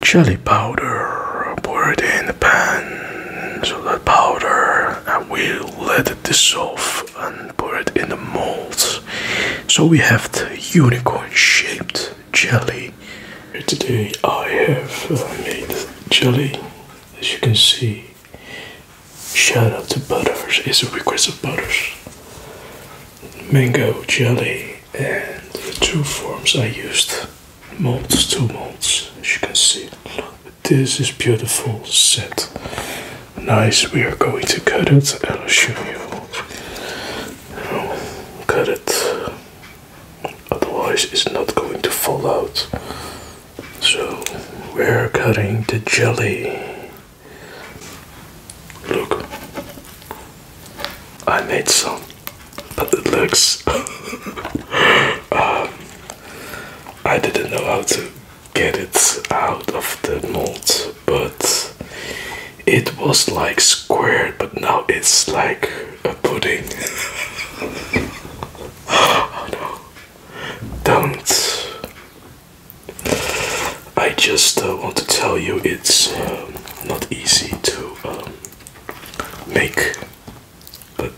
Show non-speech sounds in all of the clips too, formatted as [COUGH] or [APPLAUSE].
Jelly powder. Pour it in the pan, so that powder, and we let it dissolve and pour it in the molds. So we have the unicorn shaped jelly. Today I have made jelly, as you can see. Shout out to Butters, it's a request of Butters. Mango jelly and the two forms I used molds, two molds, as you can see. This is beautiful set. Nice. We are going to cut it. I'll show you. i cut it. Otherwise, it's not going to fall out. So we're cutting the jelly. Look, I made some, but it looks. [LAUGHS] Um, I didn't know how to get it out of the mold, but it was like squared, but now it's like a pudding. [LAUGHS] oh no! Don't. I just uh, want to tell you it's uh, not easy to make, but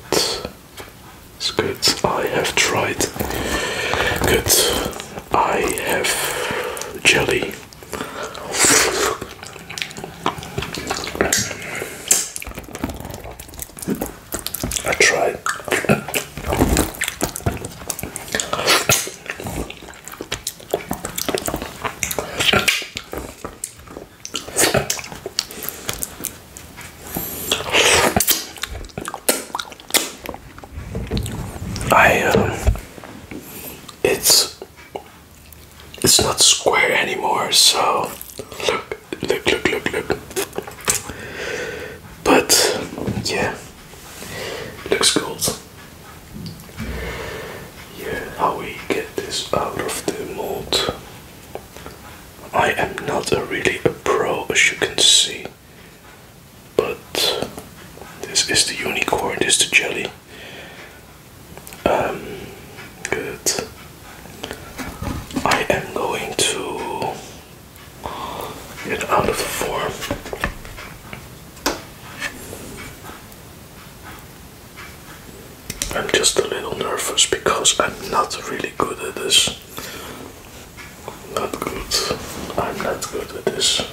it's good. I have tried. Good. I have jelly. I tried. I um, it's it's not square anymore, so look, look, look, look, look. But yeah, looks cool. Yeah, how we get this out of the mold. I am not really a pro as you can see. But this is the unicorn, this is the jelly. Um good. I am going to get out of the form. I'm just a little nervous because I'm not really good at this. Not good. I'm not good at this.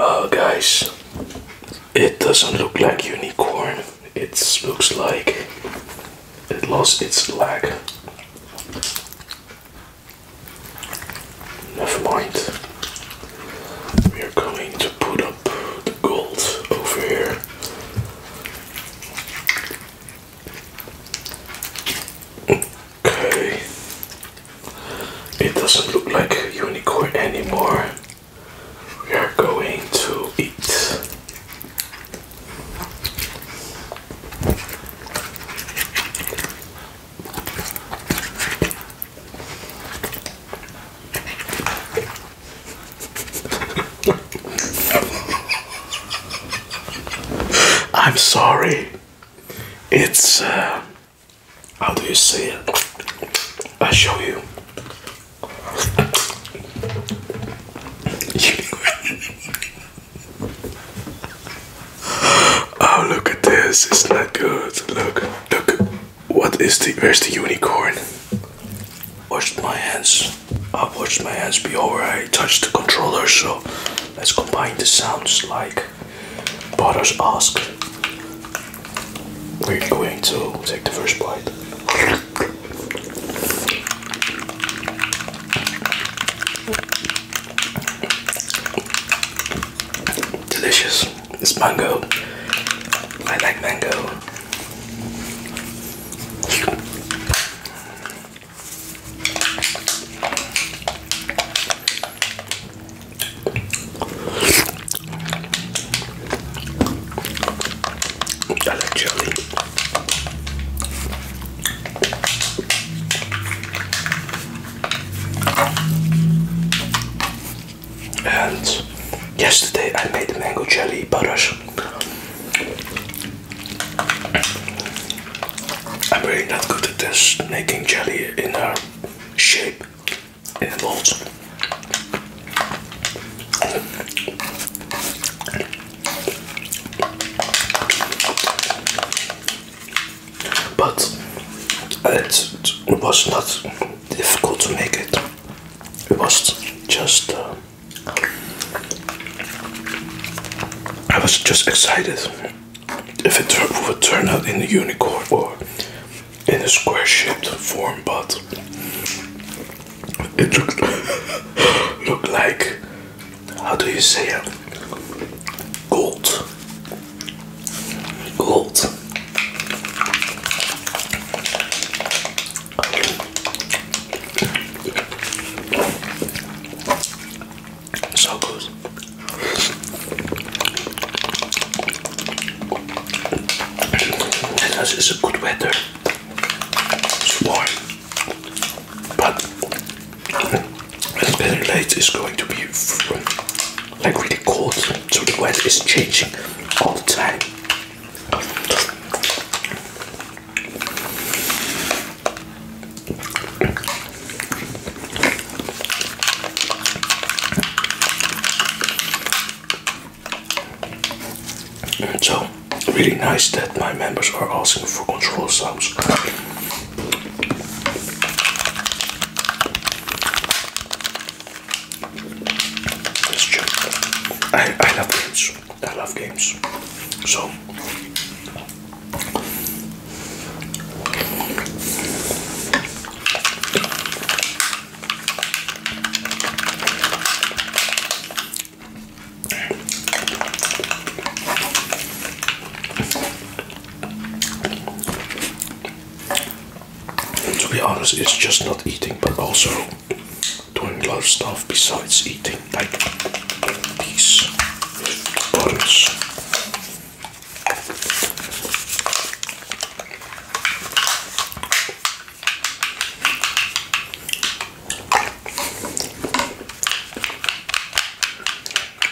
Uh, guys, it doesn't look like unicorn. It looks like it lost its leg. Never mind we are going to put up the gold over here. Okay, it doesn't look like unicorn anymore. We are going to eat. I'm sorry. It's uh, how do you say it? i show you. [LAUGHS] oh, look at this. It's not good. Look, look. What is the where's the unicorn? Washed my hands. I washed my hands before I touched the controller, so let's combine the sounds like Butters ask. We're going to take the first bite. Delicious. It's mango. I like mango. I like jelly and yesterday I made the mango jelly butters. I'm really not good at this, making jelly in a shape, in a mold but it, was not difficult to make it. It was just uh, I was just excited if it would turn out in a unicorn or in a square shaped form, but it looked [LAUGHS] looked like how do you say it? Uh, gold Gold. So good. And it's a good weather. warm, but and late is going to be like really cold, so the weather is changing all the time. So, really nice that my members are asking for control sounds. I love games. I love games. So to be honest, it's just not eating, but also doing a lot of stuff besides eating, like these buttons in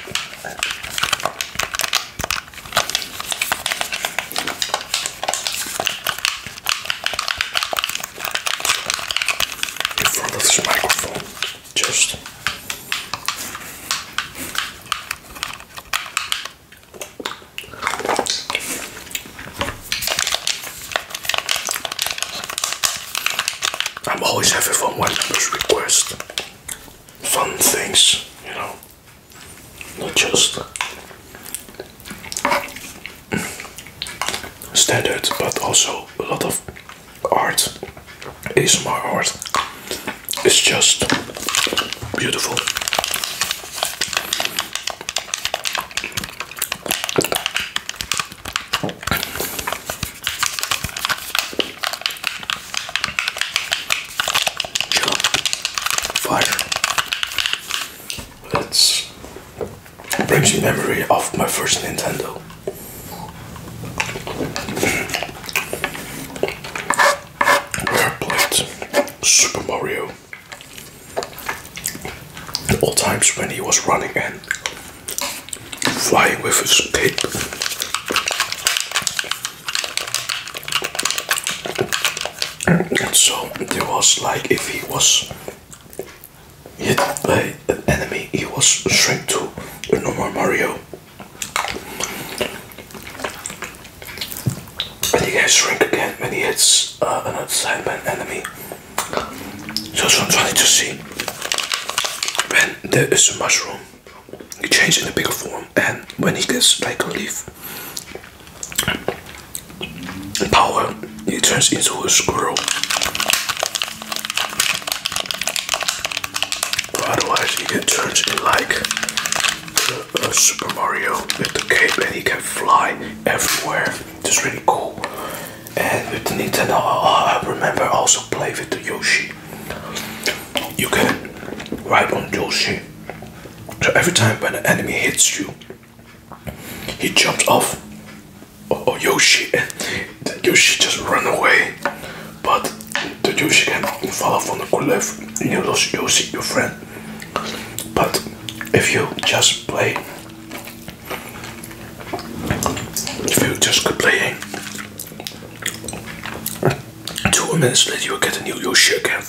front of this microphone just I'm always happy for my member's request fun things, you know, not just standard, but also a lot of art. ASMR art is just beautiful. Jump. Fire. That's brings me memory of my first Nintendo. Where Super Mario. The old times when he was running and fly with his stick, And so there was like if he was hit by an enemy, he was shrink to a normal Mario. And he can shrink again when he hits uh, side assignment enemy. So that's what I'm trying to see. When there is a mushroom, it changes in a bigger form, and when it gets like a leaf power, it turns into a squirrel. But otherwise, it gets turned into like uh, Super Mario with the cape, and he can fly everywhere. It's really cool and with Nintendo I remember also play with the Yoshi you can ride on Yoshi so every time when an enemy hits you he jumps off Oh, oh Yoshi and eh, Yoshi just run away but the Yoshi can fall off the cliff and you lose Yoshi your friend but if you just play if you were just complaining, eh? two minutes later you will get a new Yoshi again.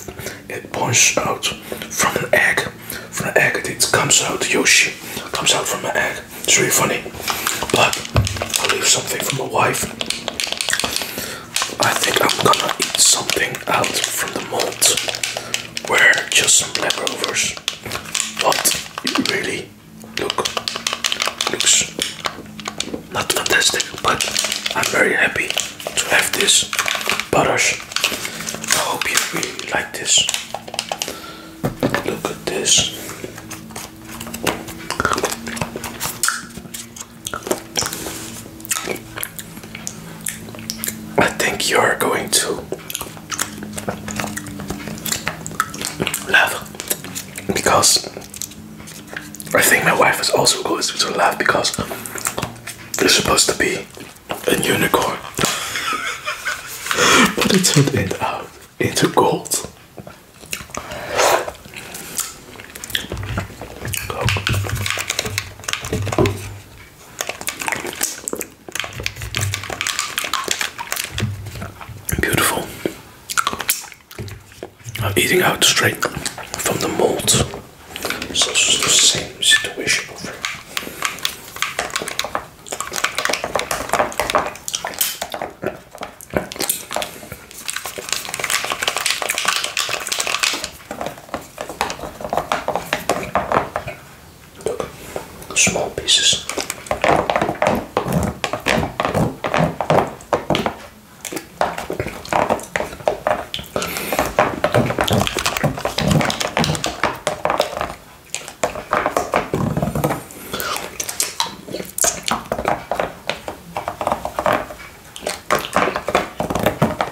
It points out from an egg. From an egg it comes out Yoshi comes out from an egg. It's really funny. But I'll leave something for my wife. I think I'm gonna eat something out from the mold. We're just some leftovers but it really looks not fantastic but I'm very happy to have this butters. I hope you really like this. Look at this. I think you are going to love because I think my wife is also going to love because it's supposed to be a unicorn, [LAUGHS] but it turned it out into gold. Beautiful. I'm eating out straight from the mold. It's the same situation over here small pieces.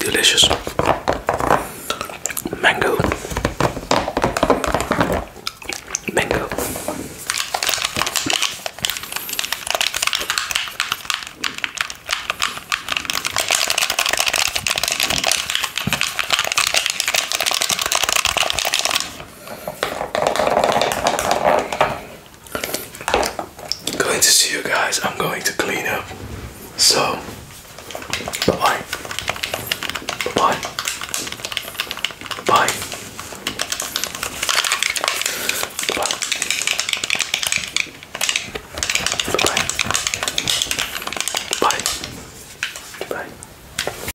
Delicious mango, mango. Going to see you guys. I'm going to clean up. So, bye bye. Bye bye. Bye. Bye. Bye. Bye. Bye.